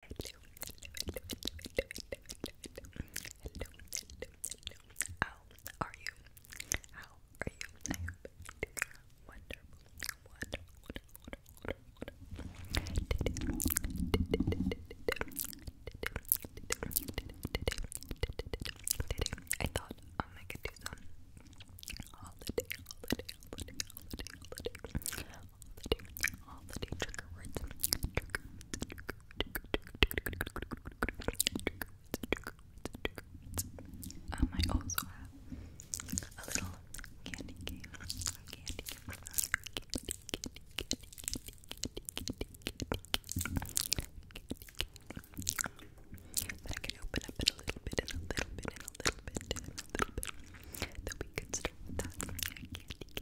How are you? How are you? I hope wonderful, wonderful, wonderful, wonderful. I thought um, I could do some holiday, holiday, holiday, holiday, holiday, all the day, all the day. Trigger words, trigger words, trigger words, trigger words, trigger words. Um, I also have a little candy cane, candy cane, candy cane, candy that I can open up in a little bit, in a little bit, in a little bit, in a little bit. That we could start with that candy, candy,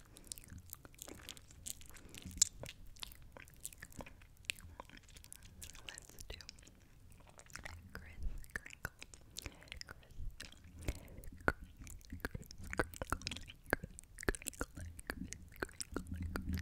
Let's do Chris Crinkle. Chris Crinkle. Chris Crinkle. Chris Crinkle.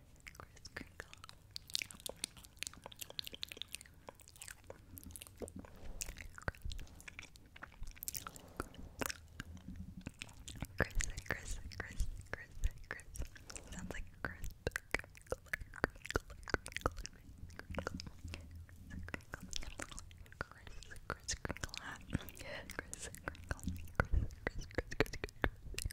Kris Kringle. Chris, Chris, Chris, Chris, Chris. Sounds like Chris, crinkle,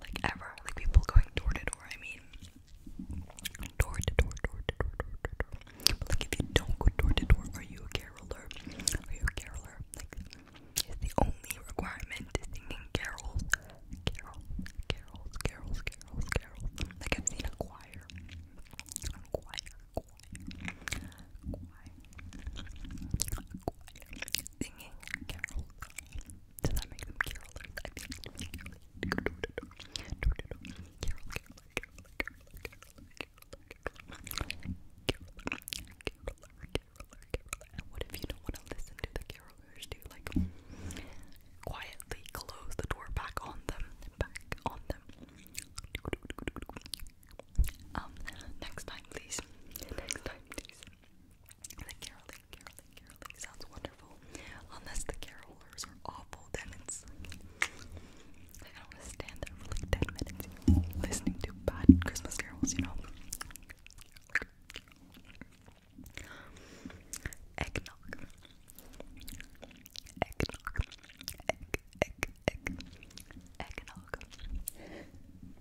like ever. Like people going door to door. I mean, door to door, door to door, door to door. But like if you don't go door to door, are you a caroler? Are you a caroler? Like, it's the only requirement is singing carols, carols, carols, carols, carols, carols. Like I've seen a choir, a choir, a choir, a choir, a choir singing carols. Does that make them carolers? what if you don't want to listen to the carolers? Do you like quietly close the door back on them? Back on them. Um, next time, please. Next time, please. The caroling, caroling, caroling sounds wonderful. Unless the carolers are awful, then it's I don't want to stand there for like ten minutes listening to bad Christmas carols, you know. Eggnog. Eggnog. Egg, egg, Eggnog.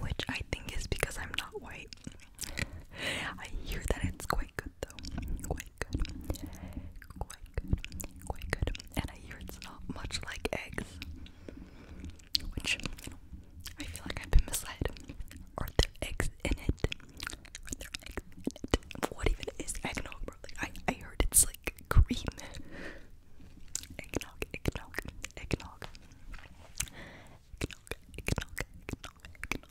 which I think is because I'm not white. I hear that it's quite good though, quite good, quite good, quite good, and I hear it's not much like eggs, which I feel like I've been misled. Are there eggs in it? Are there eggs in it? What even is eggnog, I, I heard it's like like cream. Eggnog, eggnog, eggnog. Eggnog, eggnog, eggnog, eggnog.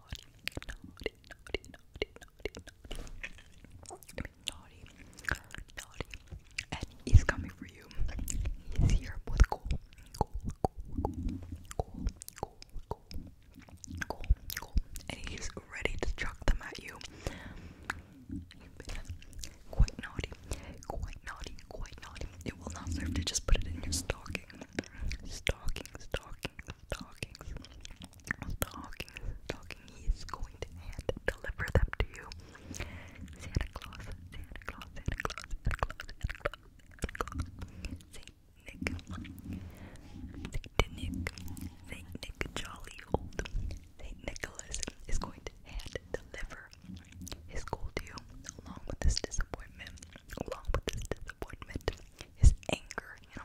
naughty, naughty, naughty, naughty, naughty, naughty, naughty, naughty, and he's coming for you. He's here with goal, goal, goal, goal, goal, goal, goal, goal, and he's ready to chuck them at you. quite naughty, quite naughty, quite naughty. It will not serve to just put it in your stocking stalking, stalking, stalking, stalking, stalking. He is going to hand deliver them to you. Santa Claus, Santa Claus, Santa Claus, Santa Claus, Santa Claus, Santa Claus. Saint Nick, Saint Nick, Saint Nick, jolly old Saint Nicholas is going to hand deliver his gold to you, along with his desire disappointment, along with his disappointment, his anger, you know.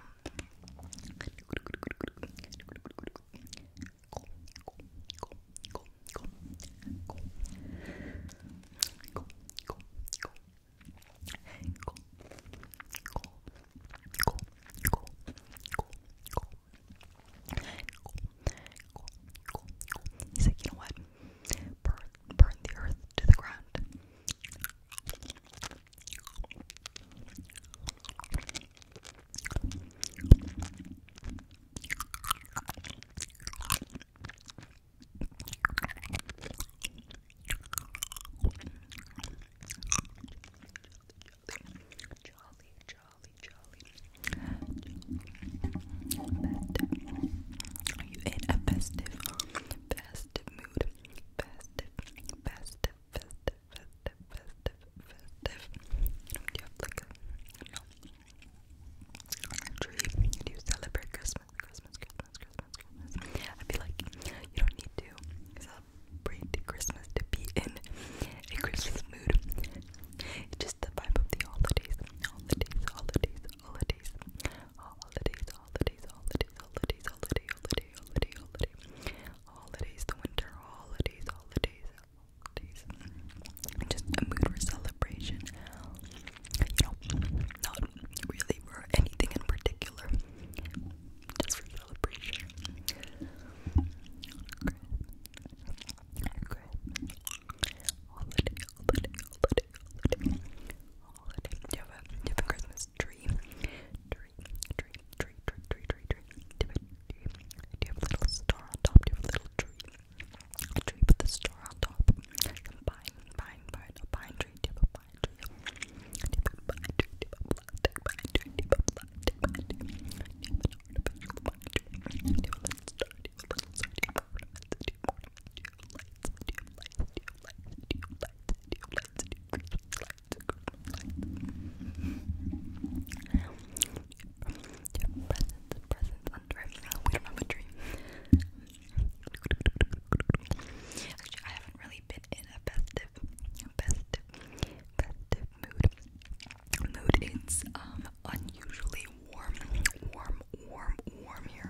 He's like, you know what? burn, burn the earth to the ground. Jolly, jolly, jolly. That you in a festive festive mood. Festive, festive, festive, festive, festive, festive. Um, do you have like a, no, Do you celebrate Christmas? Christmas, Christmas, Christmas, Christmas. I feel like you don't need to celebrate Christmas to be in a Christmas mood. It's just the vibe of the holidays, holidays, holidays, holidays, holidays, holidays, holidays, holidays, holiday, holiday, holiday, holiday, holidays, the winter holidays, holidays, holidays. Just a mood for celebration. You know, not really for anything in particular. Just for celebration. Okay. Okay. Holiday, holiday, holiday, holiday you have a different Christmas tree? Tree, tree, tree, tree, tree, tree, tree. you have a, little star on top? Do a little tree? A tree with a star on top. Some pine, pine, a pine tree. you have a pine tree? you have a little star? you have a little star? We don't have a tree. Actually, I haven't really been in a festive, festive, festive mood. Mood. It's um unusually warm, warm, warm, warm here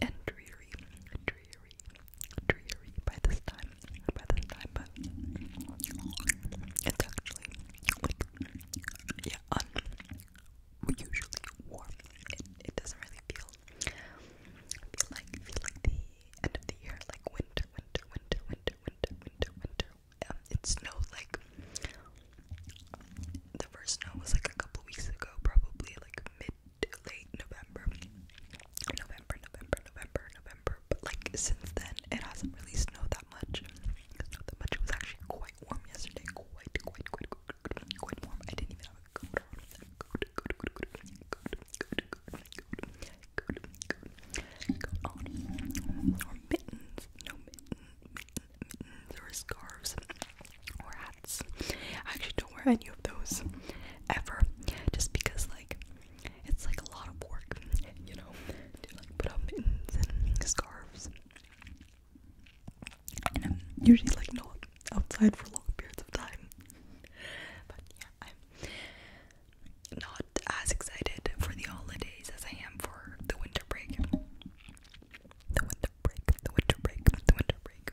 and dreary, dreary, dreary by this time, by this time, but it's actually, like, yeah, um, unusually warm. It, it doesn't really feel, feel like, feel like the end of the year, like winter, winter, winter, winter, winter, winter, winter. Um, it like the first snow was like a couple weeks ago, probably like mid late November. November, November, November, November. But like since then it hasn't really snowed that much. It's not that much. It was actually quite warm yesterday. Quite, quite, quite, quite, quite, warm. I didn't even have a coat on. Coat, coat, coat, coat, coat, coat, coat, coat, coat, coat on. Or mittens. No mitten, mitten, mittens or scarves or hat I actually don't wear any of those ever, just because like it's like a lot of work, you know, like put up mittens and scarves. And I'm usually like not outside for long periods of time. But yeah, I'm not as excited for the holidays as I am for the winter break. The winter break, the winter break, the winter break.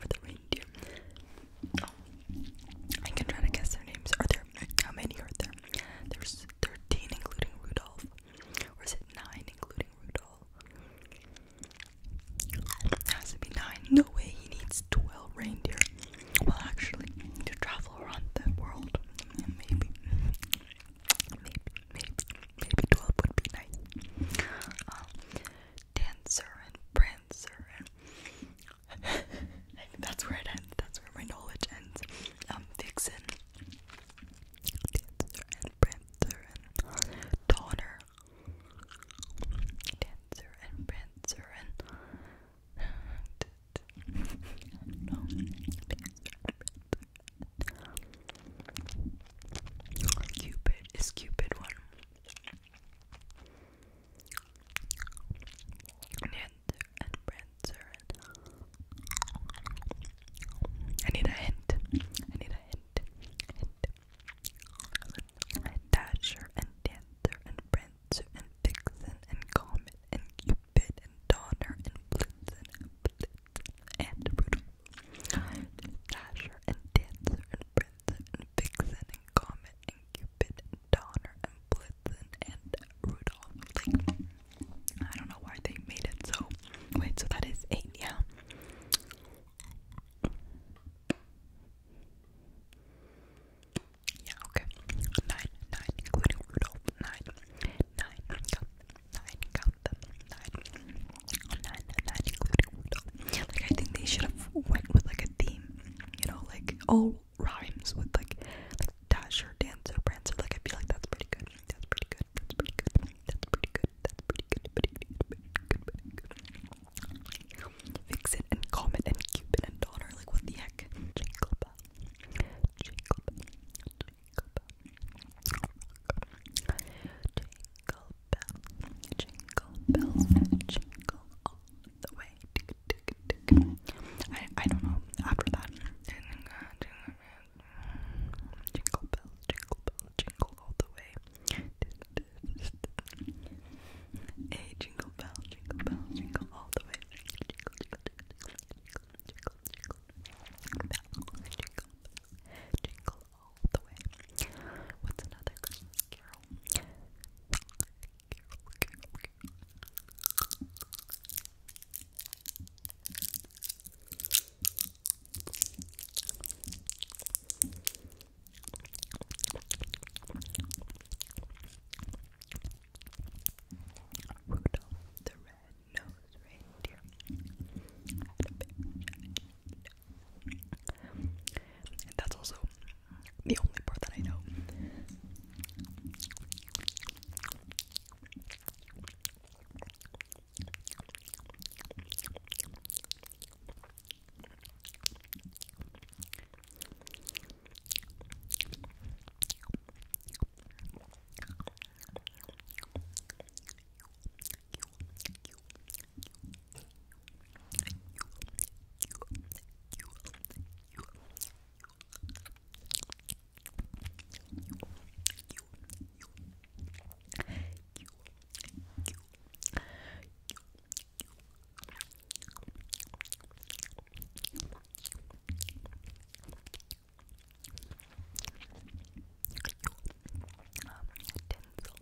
for the reindeer. Oh. I can try to guess their names. Are there how many are there? There's thirteen, including Rudolph, or is it nine, including Rudolph? has to be nine. No way. He needs twelve reindeer. Well, actually, to travel around the world, maybe, maybe, maybe, maybe twelve would be nice. Um, dancer and prancer and that's where it ends. That's where my knowledge ends. Um, Vixen, dancer and prancer and Donner, dancer and prancer and no Cupid is Cupid one and Prancer and I need a hint. I need a hint. Hint. And Dasher and Dancer and Prancer and Vixen and Comet and Cupid and Donner and Blitzen and Blitzen and Rudolph. Dasher and Dancer and Prancer and Vixen and Comet and Cupid and Donner and Blitzen and Rudolph. I don't know why they made it so. Wait, so that is eight, yeah. Yeah, okay. Nine, nine, including Rudolph. Nine, nine, count Nine, count Nine, nine, nine, including like I think they should have went with like a theme, you know, like all rhymes with like, like Dasher, Dancer, Prancer. Like I feel like that's pretty good. That's pretty good. That's pretty good. That's pretty good. That's pretty good. Pretty good. Pretty good. Pretty good. Fix it and Comet and Cupid and Donner. Like what the heck? Jingle bell. Jingle bell. Jingle bell. Jingle bell, jingle bells, jingle all the way. Tick, tick, tick. I I don't know after that. Jingle bells, jingle bells, jingle all the way. A jingle bell, jingle bell, jingle all the way. Jingle, jingle, jingle, jingle, jingle, jingle, jingle, jingle, jingle, jingle, jingle all What's another carol? Rudolph the red-nosed reindeer that's also the only part that I know. Um, Tinsel,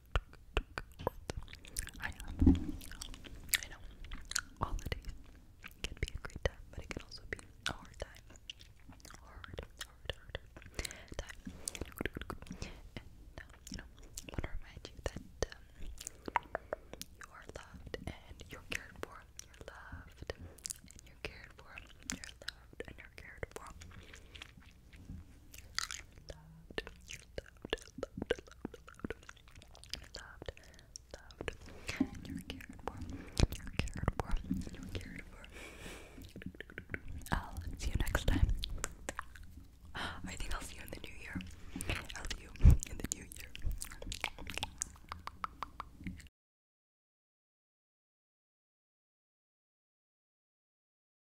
I know. I know. Holidays can be a great time, but it can also be a hard time. Hard, hard, hard, time. And, uh, you I want to remind you that um, you are loved and you're cared for. You're loved and you're cared for. You're loved and you're cared for loved, loved, loved, loved, loved, loved, loved. You were cared for. You were cared for. You were cared for. I'll see you next time. I think I'll see you in the new year. I'll see you in the new year.